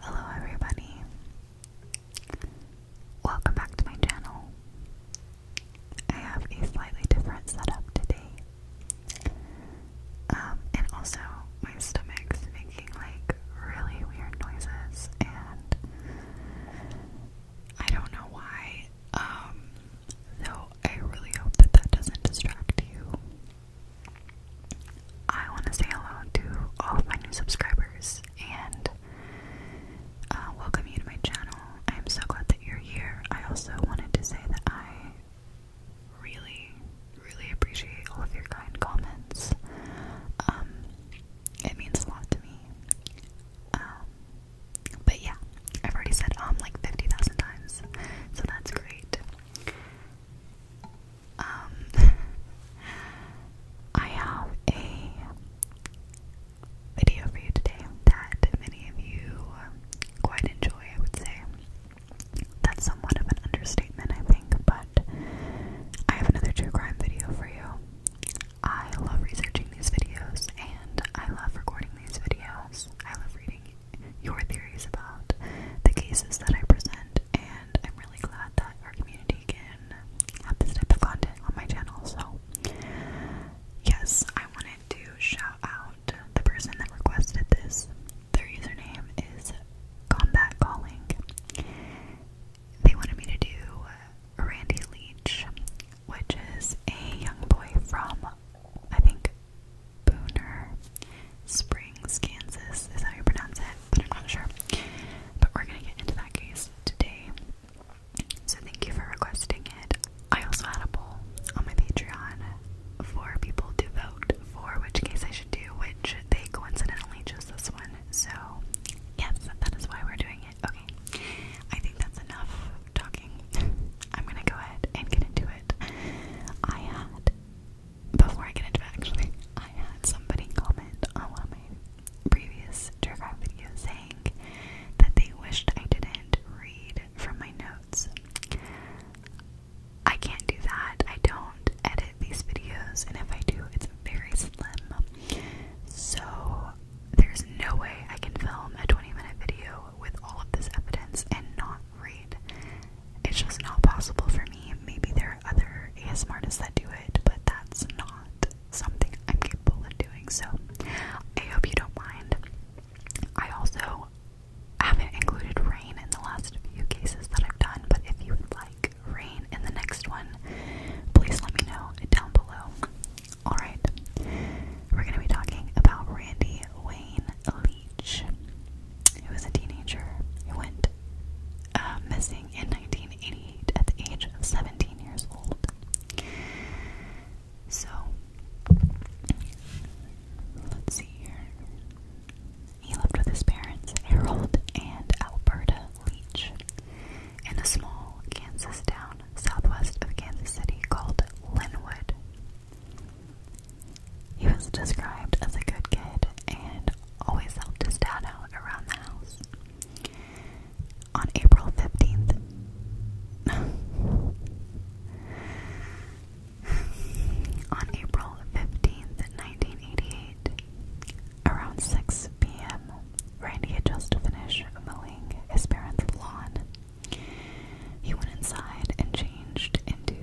Hello, everybody. Welcome back to my channel. I have a slightly different setup today. Um, and also, my stomach's making like really weird noises, and I don't know why. Um, so I really hope that that doesn't distract you. I want to say hello to all of my new subscribers and uh, welcome you to my channel. I am so glad that you're here. I also wanted to say that I really, really appreciate all of your kind comments. Um, it means a lot to me. Um, but yeah, I've already said um like 50,000 times, so that's great. Um, I have a video for you today that many of you quite enjoy, I would say. That's somewhat of an understatement, I think, but I have another true crime video for you. I love researching these videos and I love recording these videos. I love reading your theories about the cases that I present, and I'm really glad that our community can have this type of content on my channel. So, yes, I wanted to shout out the person that requested this. Their username is Combat Calling. They wanted me to do Randy Leach, which is a young boy from I think Booner Springs, Kansas is how you pronounce it, but I'm not sure. But we're gonna get into that case today. So thank you for requesting it. I also had a poll on my Patreon for people to vote for which case I should do, which they coincidentally chose this one. So yes, that is why we're doing Okay, I think that's enough talking. I'm gonna go ahead and get into it. I had, before I get into it actually, I had somebody comment on one of my previous Dragon videos saying that they wished I didn't read from my notes. I can't do that. I don't edit these videos, and if I do, it's very slim. So there's no way I can film a 20 minute video with all of this evidence and not read. It's just not possible for me. Maybe there are other ASMR artists that do it, but that's not something I'm capable of doing. So I hope you don't mind. I also haven't included rain in the last few cases that I've done, but if you would like rain in the next one, please let me know down below. Alright, we're going to be talking about Randy Wayne Leach, who was a teenager He went uh, missing in 1988 at the age of 17 years old. So, let's see here. He lived with his parents, Harold and Alberta Leach in a small Kansas town southwest of Kansas City called Linwood. He was described as a good kid and always helped his dad out around the house. On April 15th, on April 15th, 1988, around 6 p.m., Randy had just finished mowing his parents' lawn. He went inside and changed into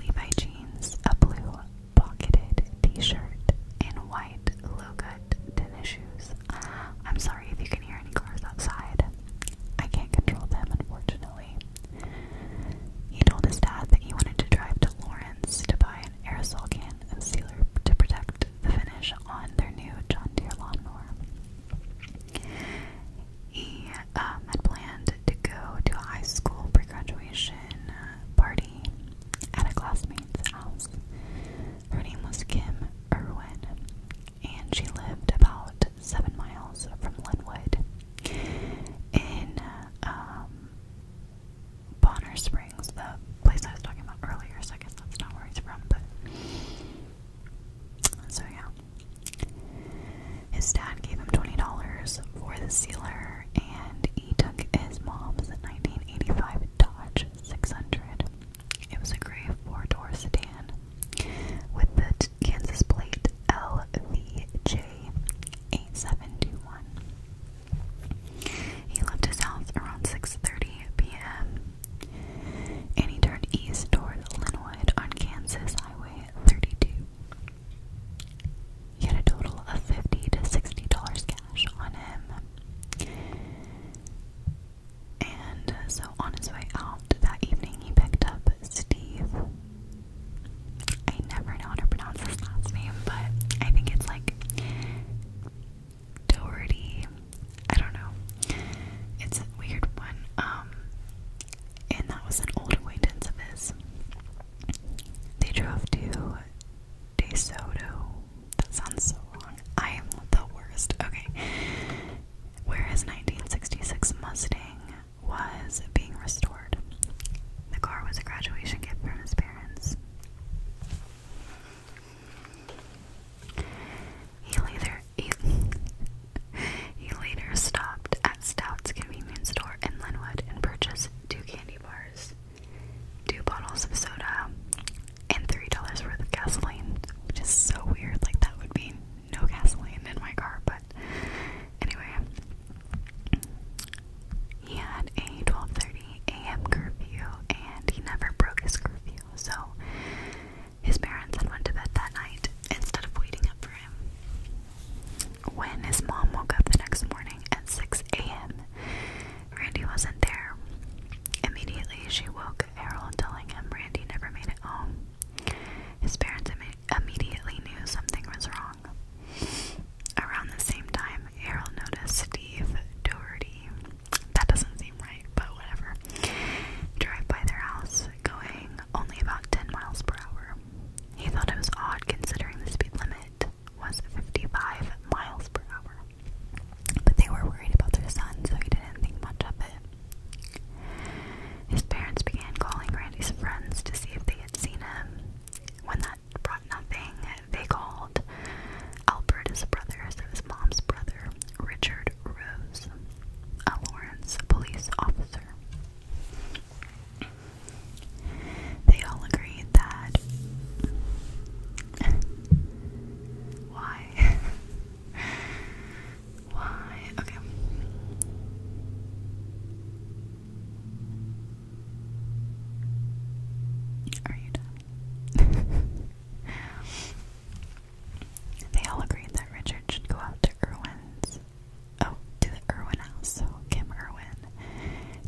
Levi jeans, a blue pocketed t shirt, and white low cut tennis shoes. I'm sorry if you can hear any cars outside. I can't control them, unfortunately. He told his dad that he wanted to drive to Lawrence to buy an aerosol can and sealer to protect the finish on their new John Deere lawnmower. He um, had planned to go to a high school pre-graduation party at a classmate's house. Her name was Kim Irwin, and she lived about seven miles from Linwood in um, Bonner Springs, the place I was talking about earlier, so I guess that's not where he's from, but. So, yeah. His dad gave him $20 for the sealer, and he took his mom's 1985 Dodge 600. It was a gray four door sedan with the Kansas plate LVJ8721. He left his house around 6:30 p.m. and he turned east toward Linwood on Kansas Highway 32. He had a total of 50 to 60 dollars cash on him. And so on his way out that evening, he picked up Steve. I never know how to pronounce his last name, but I think it's like Doherty. I don't know. It's a weird one. Um, and that was an old acquaintance of his. They drove to Desoto. That sounds so wrong. I am the worst. Okay. Where his 1966 Mustang was being restored. The car was a graduation gift from his parents. He later he, later stopped at Stout's convenience store in Linwood and purchased two candy bars, two bottles of soda, and three dollars worth of gasoline, which is so weird. Like that would be no gasoline in my car, but anyway. He had a 12:30 a.m. curfew, and he never broke his curfew. So his parents had went to bed that night instead of waiting up for him. When his mom woke up the next morning at 6 a.m., Randy wasn't there. Immediately, she woke Harold, telling him Randy never made it home. His parents immediately knew something was wrong. Around the same time, Errol noticed Steve Doherty. That doesn't seem right, but whatever. Drive by their house, going only about 10 miles per hour. He thought it was odd considering the speed limit was 55 miles per hour. But they were worried about their son, so he didn't think much of it. His parents began calling Randy's friends to see if they had seen him. When that brought nothing. They called Albert his brother, so his mom's brother, Richard Rose, a Lawrence police officer. They all agreed that. Why? Why? Okay. Are you done? they all agreed that Richard should go out to Irwin's. Oh, to the Irwin house, Kim Irwin,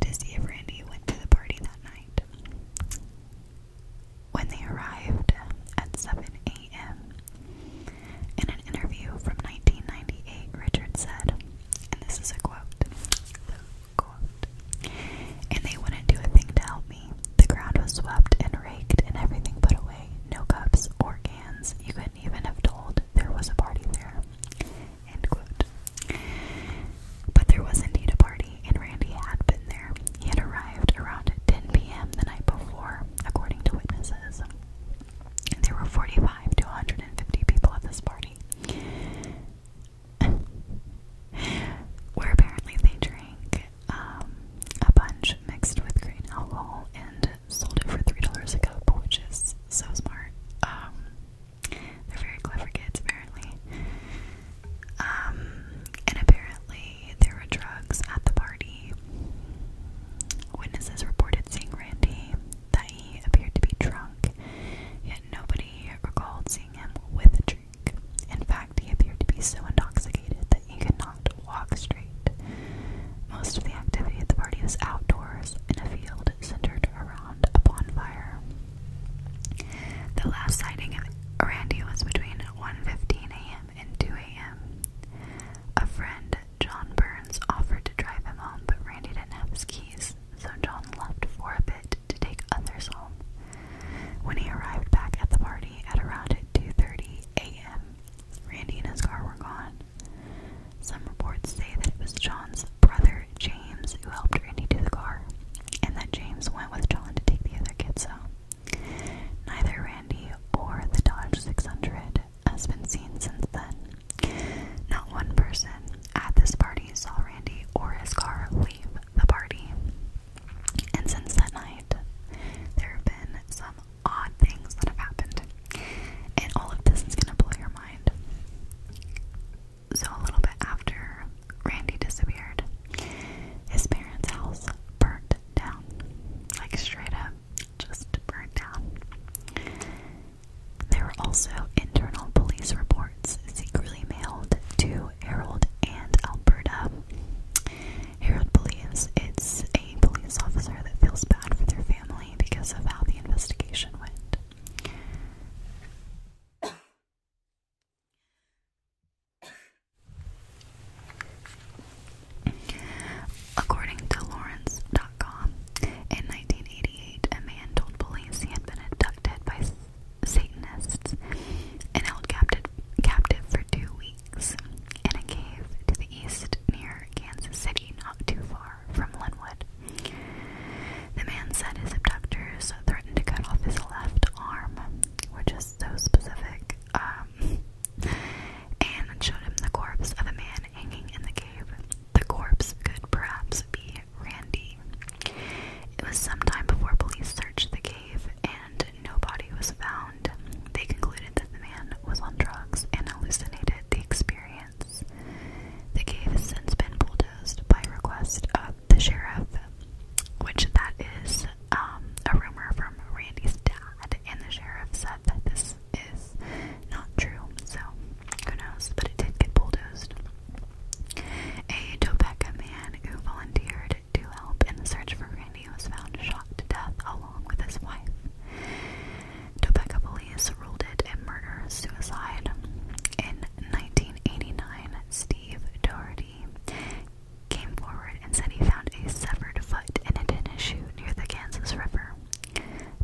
to see if Randy went to the party that night. When they arrived at 7 a.m., in an interview from 1998, Richard said, and this is a quote Quote. And they wouldn't do a thing to help me. The ground was swept and raked and everything put away. No cups or cans. You couldn't even have told there was a party there. End quote. But there was indeed a party, and Randy had been there. He had arrived around 10 p.m. the night before, according to witnesses. There were 45 to 150 people at this party. where apparently they drank um, a bunch mixed with green alcohol and sold it for $3 a cup, which is so smart. Um, they're very clever kids, apparently. Um, and apparently, there were drugs at the party. Witnesses reported seeing Randy that he appeared to be drunk, yet nobody recalled seeing him with a drink. In fact, he appeared to be so intoxicated that he could not walk straight. Most of the activity at the party was outdoors in a field centered around a bonfire. The last sighting of Randy was between 1:15 a.m. and 2 a.m. A friend, John Burns, offered to drive him home, but Randy didn't have his keys, business, so John left for a bit to take others home. When he arrived back at the party at around 2:30 a.m., Randy and his car were gone. Some reports say that it was John's brother James who helped Randy to the car, and that James went with John to take the other kids home. Neither Randy or the Dodge 600 has been seen since then. Not one person at this party saw Randy or his car leave the party. And since that night, there have been some odd things that have happened. And all of this is going to blow your mind. So, a little bit after Randy disappeared, his parents' house burnt down. Like, straight up, just burnt down. There were also internal police reports secretly mailed to Harold and Alberta. Harold believes it's a police officer that feels bad for their family because of how the investigation went. According to Lawrence. In 1988, a man told police he had been abducted by Satanists and held captive, captive for two weeks in a cave to the east near Kansas City, not too far from Linwood. The man said his abductors threatened to cut off his left arm, which is so specific, um, and showed him the corpse of a man hanging in the cave. The corpse could perhaps be Randy. It was some time before police searched the cave and no body was found. They concluded that the man was on drugs and hallucinated the experience. The cave has since been bulldozed by request of the sheriff, which that is um, a rumor from Randy's dad, and the sheriff said that this is not true. So who knows? But it did get bulldozed. A Topeka man who volunteered to help in the search for Randy was found shot to death along with his wife. Topeka police ruled it a murder-suicide. In 1989, Steve Doherty came forward and said he found a severed foot in a tennis shoe near the Kansas River.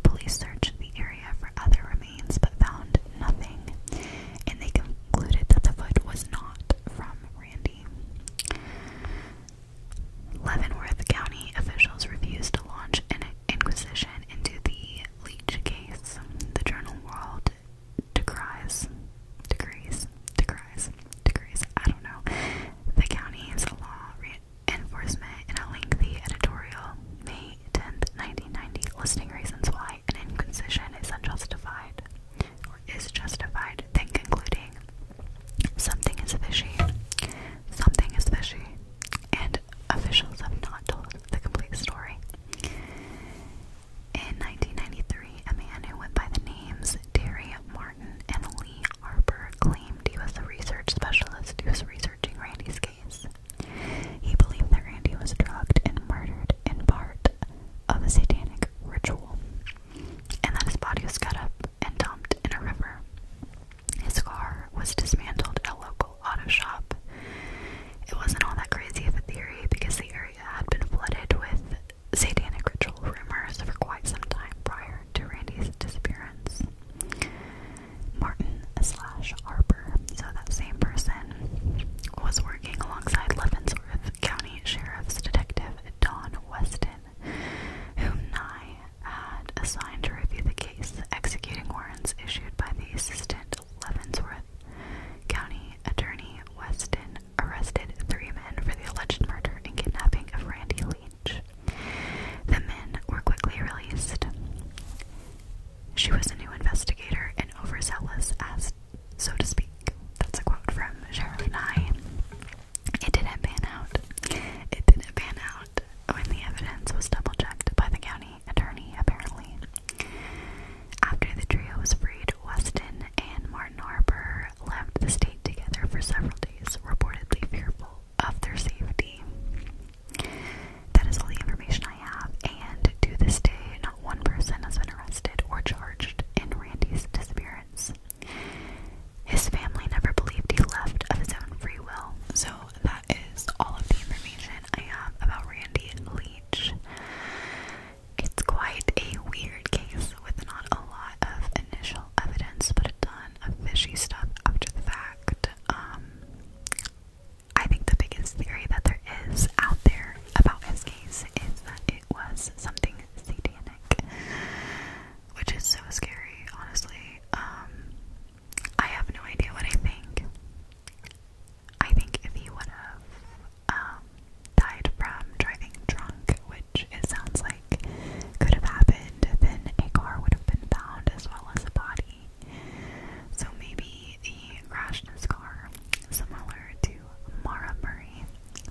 Police searched the area for other remains but found nothing, and they concluded that the foot was not from Randy. Leavenworth County officials refused to launch an inquisition into the Leach case. The journal World decries, degrees, degrees, degrees, I don't know, the county county's law enforcement in a lengthy editorial, May 10, 1990, listing reasons why an inquisition is unjustified or is justified, then concluding something is fishy, something is fishy, and officials have not told the complete story. In 1993, a man who went by the names Terry Martin and Lee Harper claimed he was a research specialist who was researching Randy's case. He believed that Randy was drugged and murdered in part of a satanic ritual, and that his body was cut up and dumped in a river. His car was dismantled at a local auto shop. It wasn't all that crazy of a theory because the area had been flooded with satanic ritual rumors for quite some time prior to Randy's disappearance. Martin slash so that same person, was working alongside Leavenworth County Sheriff's Detective Don Weston, whom Nye had assigned to review the case, executing warrants issued by the assistant Leavenworth County Attorney Weston arrested three men for the alleged murder and kidnapping of Randy Leach. The men were quickly released. She was a new investigator and overzealous as so to speak. That's a quote from Shirley Nye. It didn't pan out. It didn't pan out when the evidence was double checked by the county attorney, apparently. After the trio was freed, Weston and Martin Harper left the state together for several days, reportedly fearful of their safety. That is all the information I have, and to this day, not one person has been arrested or charged in Randy's disappearance. His family never believed he left of his own free will. So, that is all of the information I have about Randy Leach. It's quite a weird case with not a lot of initial evidence, but a ton fishy stuff after the fact. Um, I think the biggest theory that there is out there about his case is that it was something satanic, which is so scary, honestly. Um, I have no idea what I think. I think if he would have um, died from driving drunk, which it sounds like like could have happened, then a car would have been found as well as a body. So maybe he crashed his car, similar to Mara Murray,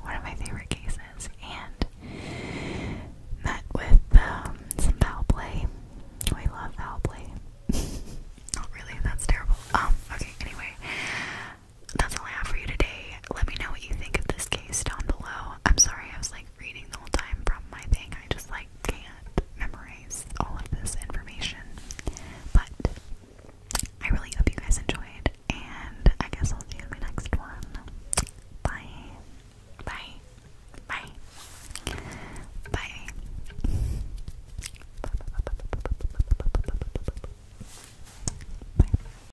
one of my favorite cases, and met with um, some foul play. We love foul play. Not really, that's terrible. Um, okay, anyway. That's all I have for you today. Let me know what you think of this case down below. I'm sorry, I was like reading the whole time from my thing. I just like can't memorize all of this information. But I really hope you guys enjoyed, and I guess I'll see you in my next one. Bye. Bye. Bye. Bye. Bye.